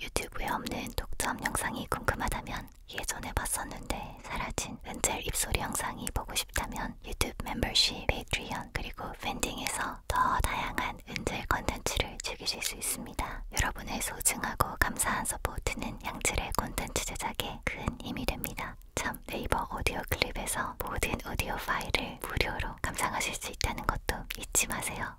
유튜브에 없는 독점 영상이 궁금하다면 예전에 봤었는데 사라진 은젤 입소리 영상이 보고 싶다면 유튜브 멤버십, 페이트리언 그리고 팬딩에서 더 다양한 은젤 컨텐츠를 즐기실 수 있습니다. 여러분의 소중하고 감사한 서포트는 양질의 콘텐츠 제작에 큰 힘이 됩니다. 참 네이버 오디오 클립에서 모든 오디오 파일을 무료로 감상하실 수 있다는 것도 잊지 마세요.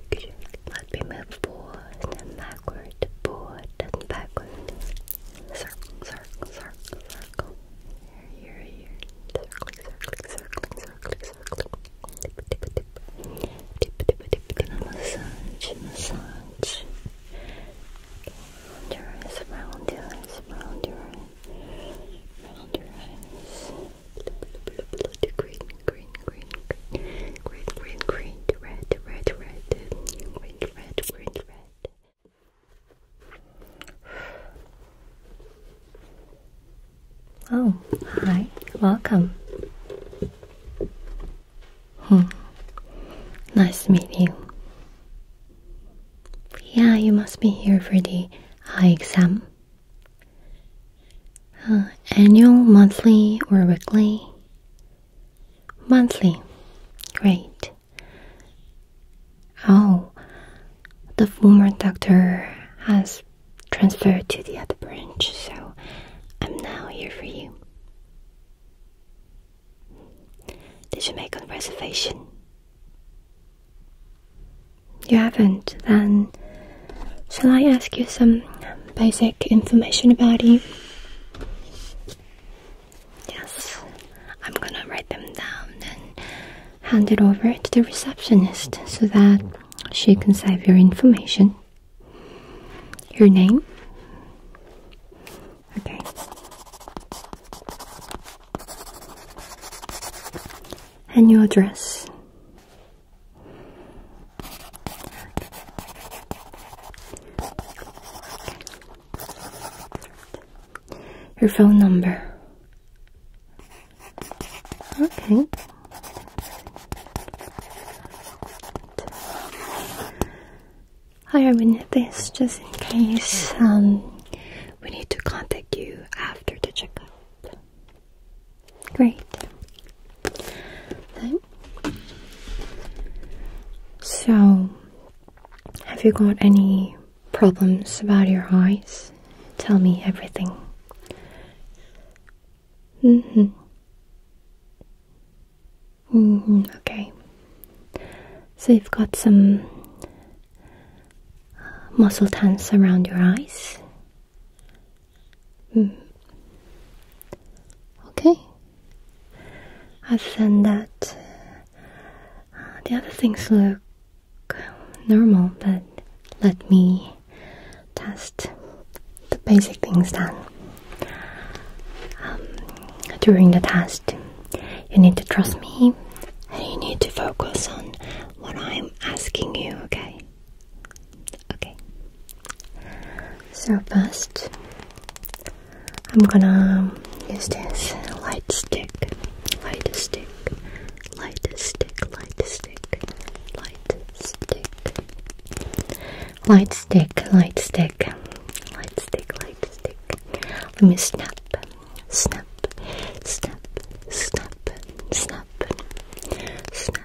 shake, shake. Let me move forward and backward, forward and backward. Circle, circle, circle, circle. Here, here, here. Circling, circling, circling, circling, circling. Dip, dip, dip. Dip, dip, dip. going massage, massage. Round your eyes, round your eyes, round your eyes. Round your eyes green, green, green, green, green, green, red, red, red, green, red, green, red. Oh, hi, welcome. Hmm. Nice meeting. you. Yeah, you must be here for the high exam. Uh, annual, monthly, or weekly? Monthly. Great. Oh, the former doctor has transferred to the other branch, so I'm now here for you. Did you make a reservation? You haven't? Then shall I ask you some basic information about you? Yes, I'm gonna write them down and hand it over to the receptionist so that she can save your information. Your name? Okay. And your address? Your phone number. Okay. I removed this just in case um, we need to contact you after the checkup. Great. So, have you got any problems about your eyes? Tell me everything. Mm-hmm. hmm okay. So you've got some uh, muscle tense around your eyes. Mm. Okay. Other than that, uh, the other things look normal, but let me test the basic things Then um, during the test, you need to trust me and you need to focus on what I'm asking you, okay? Okay. So first, I'm gonna use this light stick, light stick, light stick, light stick, light stick, light stick, light stick, light stick, light stick. Let me snap, snap, snap, snap, snap, snap,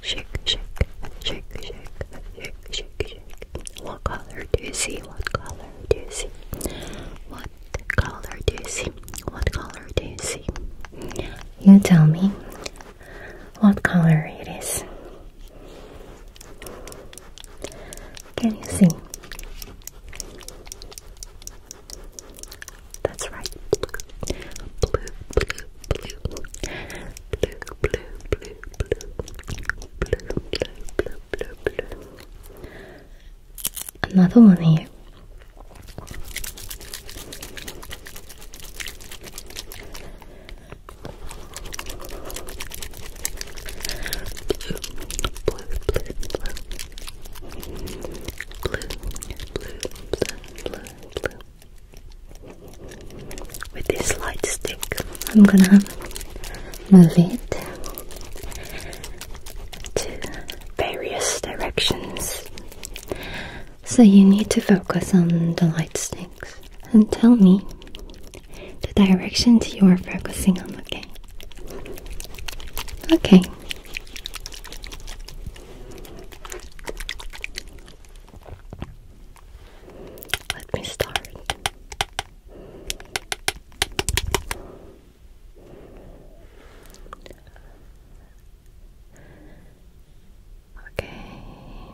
Shake, shake, shake, shake, shake, shake, shake. What color do you see? What color do you see? What color do you see? What color do you see? You tell me what color it is. Can you see? That's right. Blue, blue, blue blue, blue, blue, blue, blue, blue, blue, blue. Another one here. Blue, blue, blue, blue. Blue, blue, blue, blue, blue with this light stick. I'm gonna move it to various directions. So you need to focus on the light sticks and tell me the directions you are focusing on, okay? Okay. Let me start. Okay. Okay.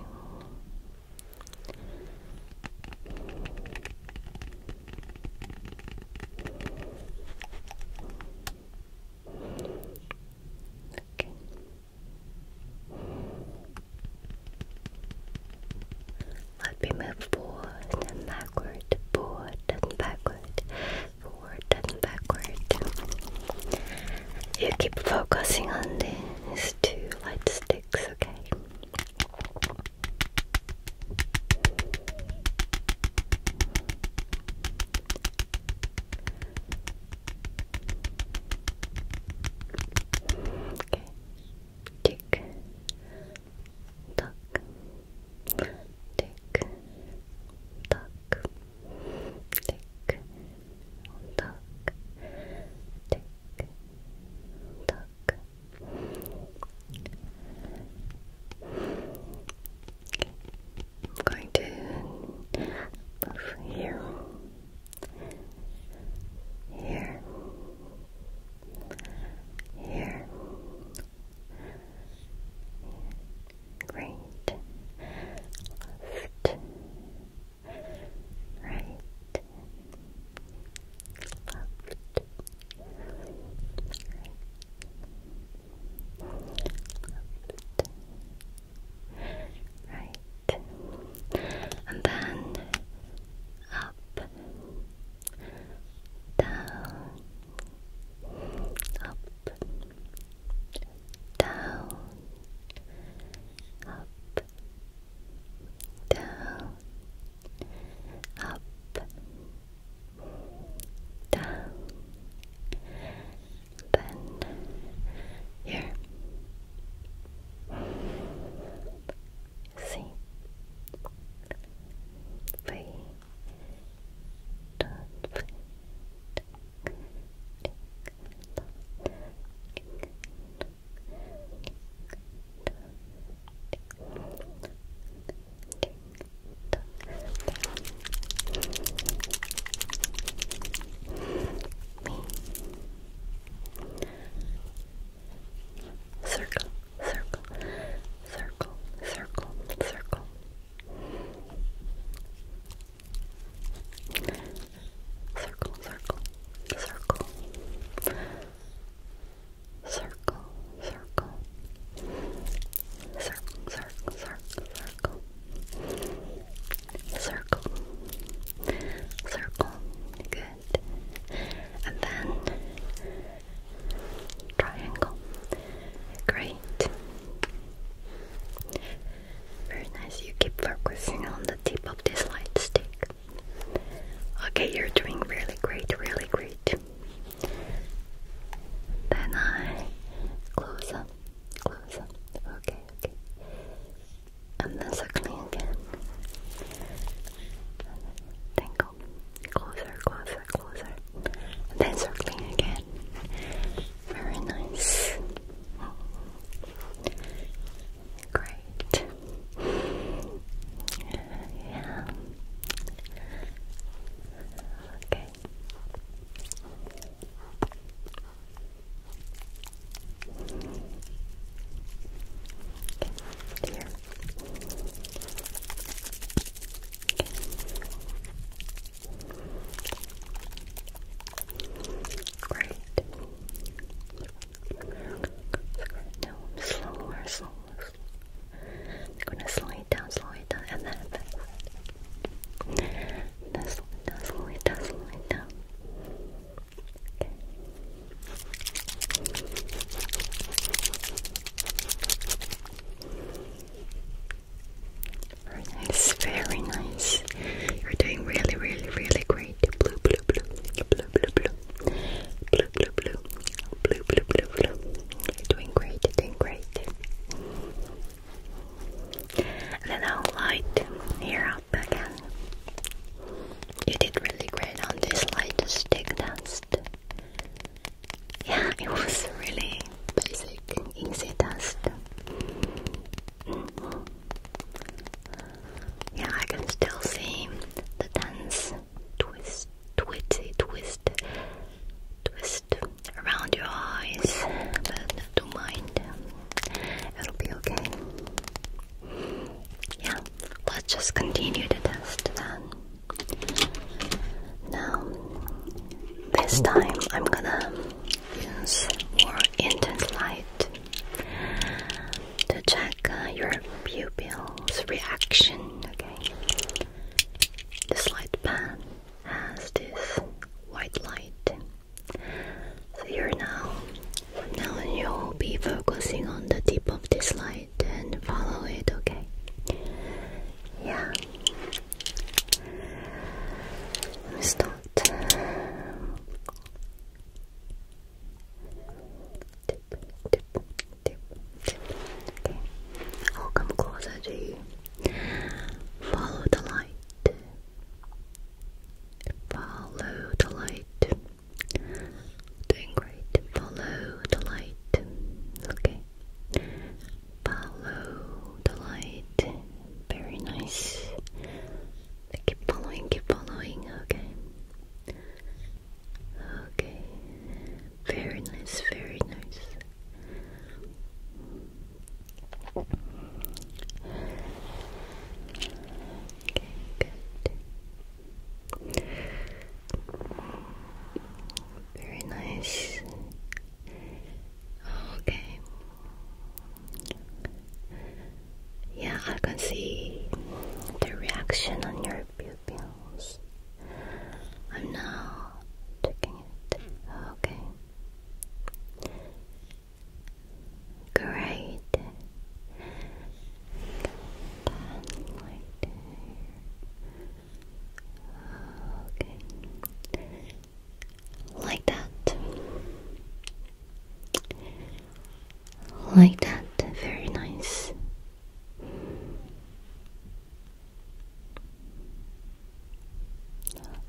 Let me move forward and backward, forward and backward, forward and backward. You keep focusing on these two light sticks, okay? Okay. Tick. Tuck. Tick. Tuck. Tick. Tuck. Tick. Tuck. Okay. I'm going to move here. Here. Here. Great. Left. Right. Left. Right. Left. Right. And then up, down, up, down, up, down, up, down, then here. See, we do Circle, circle, circle, circle, circle. Circle, circle, circle. Circle, circle. Circle, circle, circle, circle circle, circle, good, and then triangle, great. Very nice, you keep focusing on the tip of this light stick. Okay, you're doing really great, really great. Then I close up, close up. Okay, okay and then circling again. Tangle. Closer, closer, closer. then circling again. Very nice. Great. Yeah. Okay. Okay, here. Okay. Great. No, slower, slower, slower. We're gonna slow it down, slow it down, and then fast. Slow slow it down, slow it down. It's very nice. You're doing really, really, really great. Blue, blue, blue, blue, blue, blue, blue, blue, blue, blue, blue, blue, You're doing great, doing great and then I'll light here up again. You did really great on this light stick dance. Yeah, it was really basic, easy test. Mm Yeah, I can still see the dance twist, twisty twist, twist around your eyes, but don't mind. It'll be okay. Yeah, let's just continue the test then. Now, this time I'm gonna use more intense light to check uh, your pupil's reaction. Okay, this light pan has this white light so you're now, from now on you'll be focusing on the tip of this light and follow it, okay? Yeah. start. Tip, tip, tip, tip. Okay. come closer to you. Follow the light. Follow the light. Doing great. Follow the light. Okay. Follow the light. Very nice. Keep following, keep following. Okay. Okay. Very nice, very nice. Very nice. Okay. Yeah, I can see the reaction on your pupils. I'm now checking it. Okay. Great. Okay. Like that. Like that. Very nice.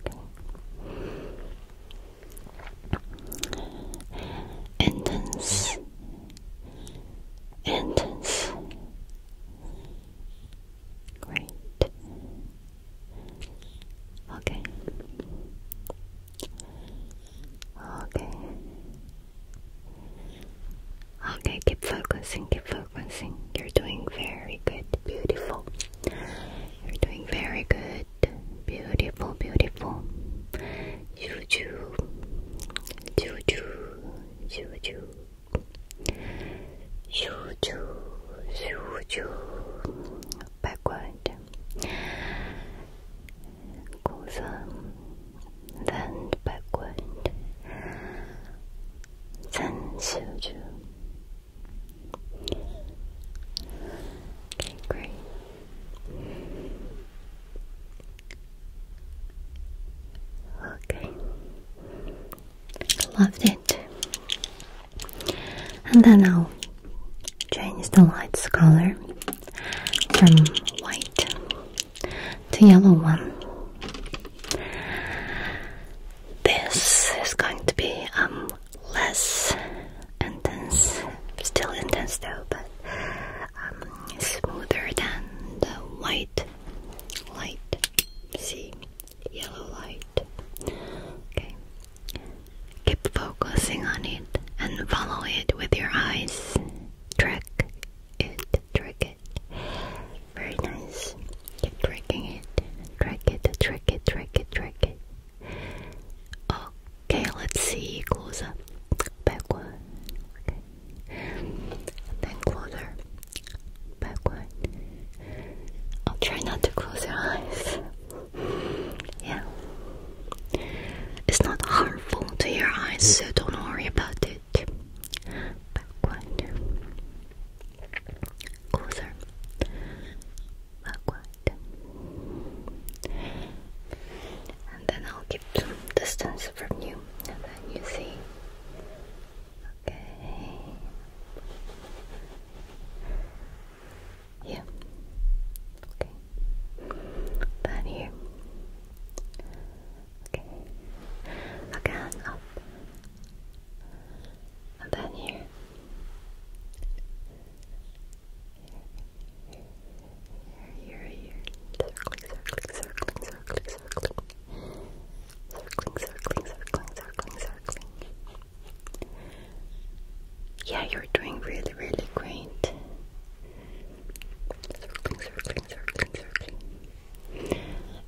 Okay intense, intense, great. Okay, okay, okay. Keep focusing, keep focusing. You're doing very good, beautiful. You're doing very good beautiful, beautiful. Juju, juju, juju, juju, juju. Backward. Closer, then backward. Then juju. Okay, great. Okay. Loved it. And then I'll change the light's color from white to yellow one. This is going to be um less intense, still intense though, but um, smoother than the white light. See, yellow light. Okay. Keep focusing on it and follow it with your eyes. Track it, track it. Very nice. Keep tracking it. Track it, track it, track it, track it. Okay, let's see closer. Backward. Okay. Then closer. one. I'll try not to close your eyes. Yeah. It's not harmful to your eyes, so don't worry about it. Backward. Closer awkward. And then I'll keep some distance from you, and then you see. Okay. Yeah. Okay. Then here. Okay. Again up. And then here. Yeah, you're doing really, really great.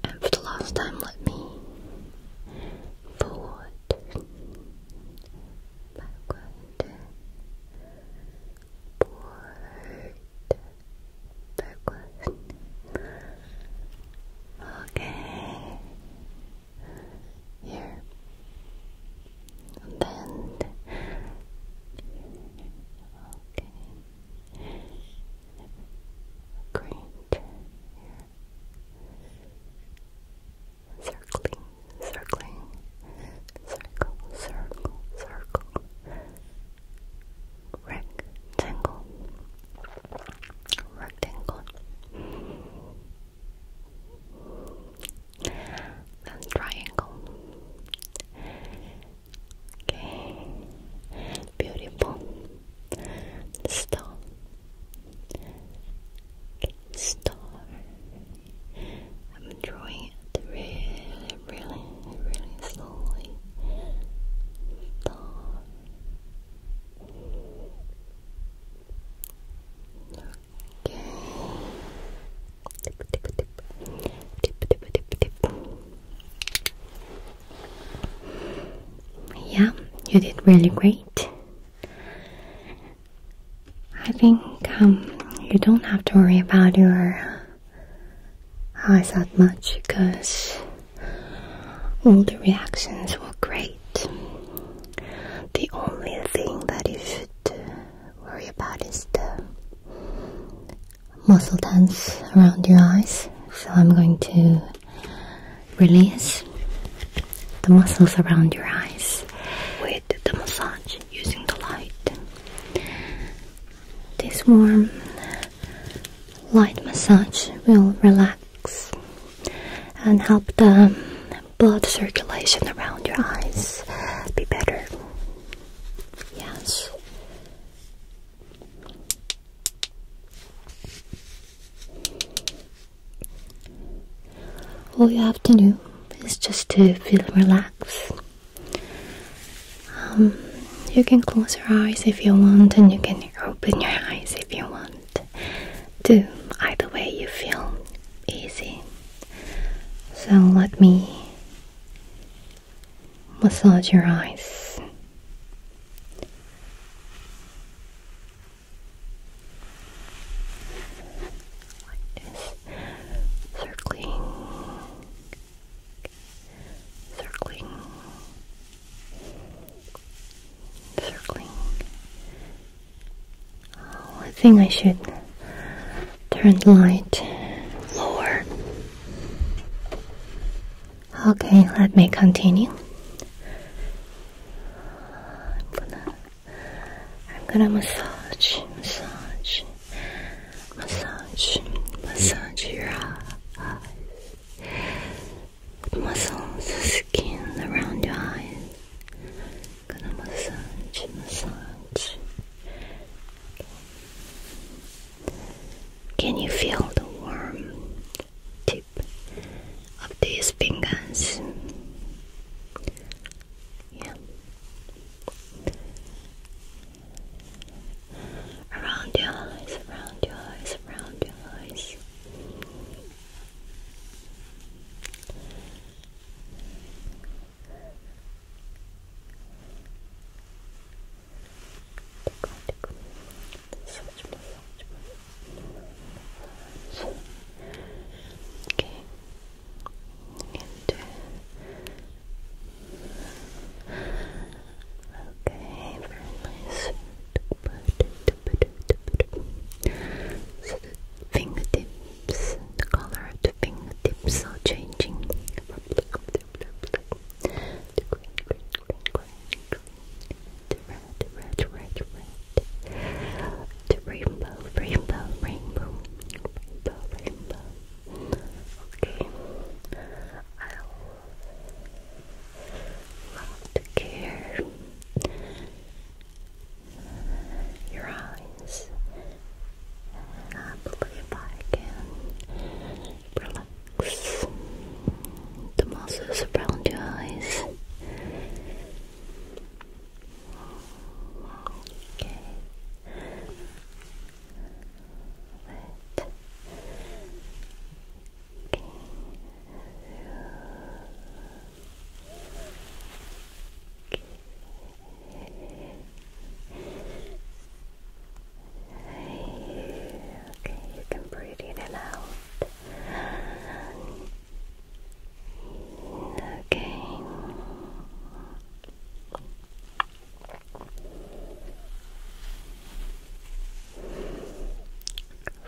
And for the last time, let me forward, 발과인데 볼트 발과인 okay here and okay Great. Here circling, circling, circle, circle, circle, rectangle, rectangle. Then triangle. Okay, beautiful. Stop. Star. I'm drawing it really, really, really slowly. Star. Okay. Tip, tip, tip. Tip, tip, tip, tip. Yeah, you did really great. I think um, you don't have to worry about your uh, eyes that much because all the reactions were great. The only thing that you should worry about is the muscle tense around your eyes. So I'm going to release the muscles around your eyes with the massage using the light. This warm light massage will relax and help the blood circulation around your eyes be better. Yes. All you have to do is just to feel relaxed. Um, you can close your eyes if you want, and you can open your eyes if you want. Do either way you feel easy. So let me massage your eyes like this, circling, circling, circling. Oh, I think I should turn the light lower. Okay, let me continue. I'm I'm gonna massage, massage, massage, massage your eyes. The muscles, the skin around your eyes. I'm gonna massage, massage. Can you feel the warmth? of these fingers. Yeah. Around your eyes, around your eyes, around your eyes. Tickle, Okay. And, uh, okay, very So the fingertips, the color of the fingertips are changing red, red, red, red. The rainbow, rainbow, rainbow, rainbow, rainbow. Okay, I love to care your eyes. I believe I can relax the muscles around your eyes. Okay. Let okay. Okay, you can breathe in and out. Okay.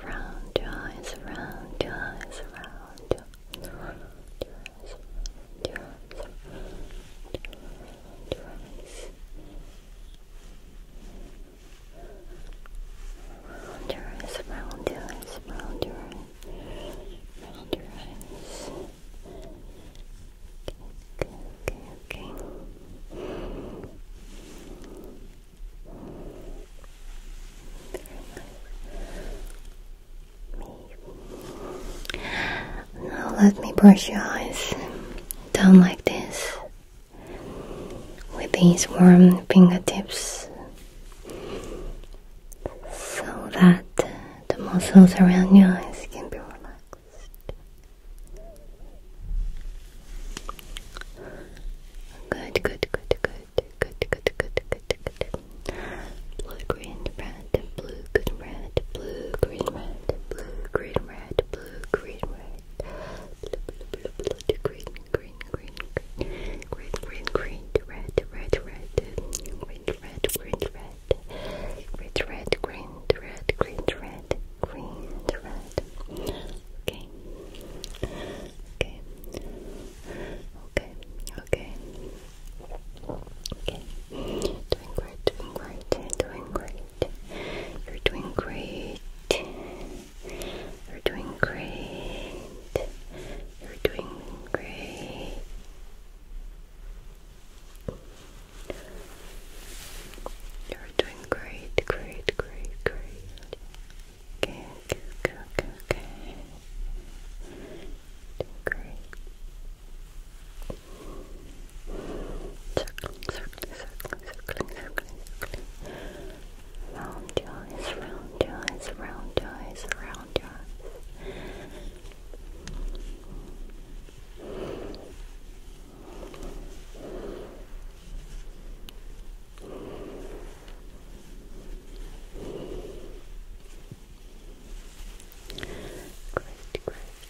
Round your eyes, round your eyes, round your eyes, Round your eyes, round your eyes, round your eyes, round your eyes. okay, okay, okay. Now let me brush your eyes down like this with these warm fingertips so that the muscles around your eyes can be relaxed. Good, good, good, good, good, good, good, good, good. Blue, green, red, blue, good, red, blue, green, red, blue, green, red, blue, green, red, blue, blue, blue, blue, green, green green, green, green, green, green, green, red, red, red, green, red, green, red, red, red, green, red, green, red, green, red. Okay. Okay. Okay. Okay. Okay. Doing great, doing great, doing great. You're doing great. You're doing great. You're doing great. You're doing great, great, great, great. Okay, okay, okay, okay, okay. great. Circling, circling, circling, circling, circling, circling. Round your eyes, round your eyes, round your eyes, round your eyes.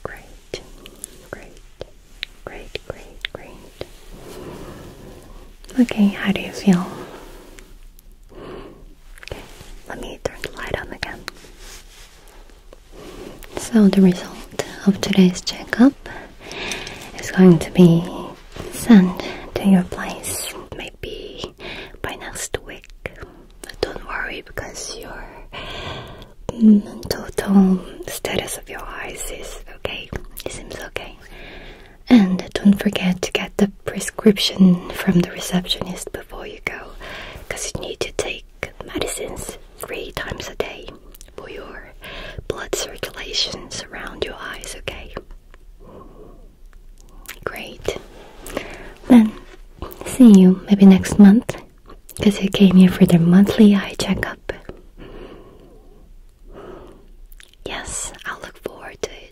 Great, great, great, great, great, great, great. Okay, how do you feel? Okay, let me turn the light on again. So the result of today's checkup is going to be sent to your place maybe by next week. Don't worry because your total status of your eyes is okay. It seems okay. And don't forget to get the prescription from the receptionist before you go, because you need to take medicines three times a day for your blood circulation around your eyes, okay? Great. Then, see you maybe next month, because you came here for the monthly eye checkup. Yes, I'll look forward to it.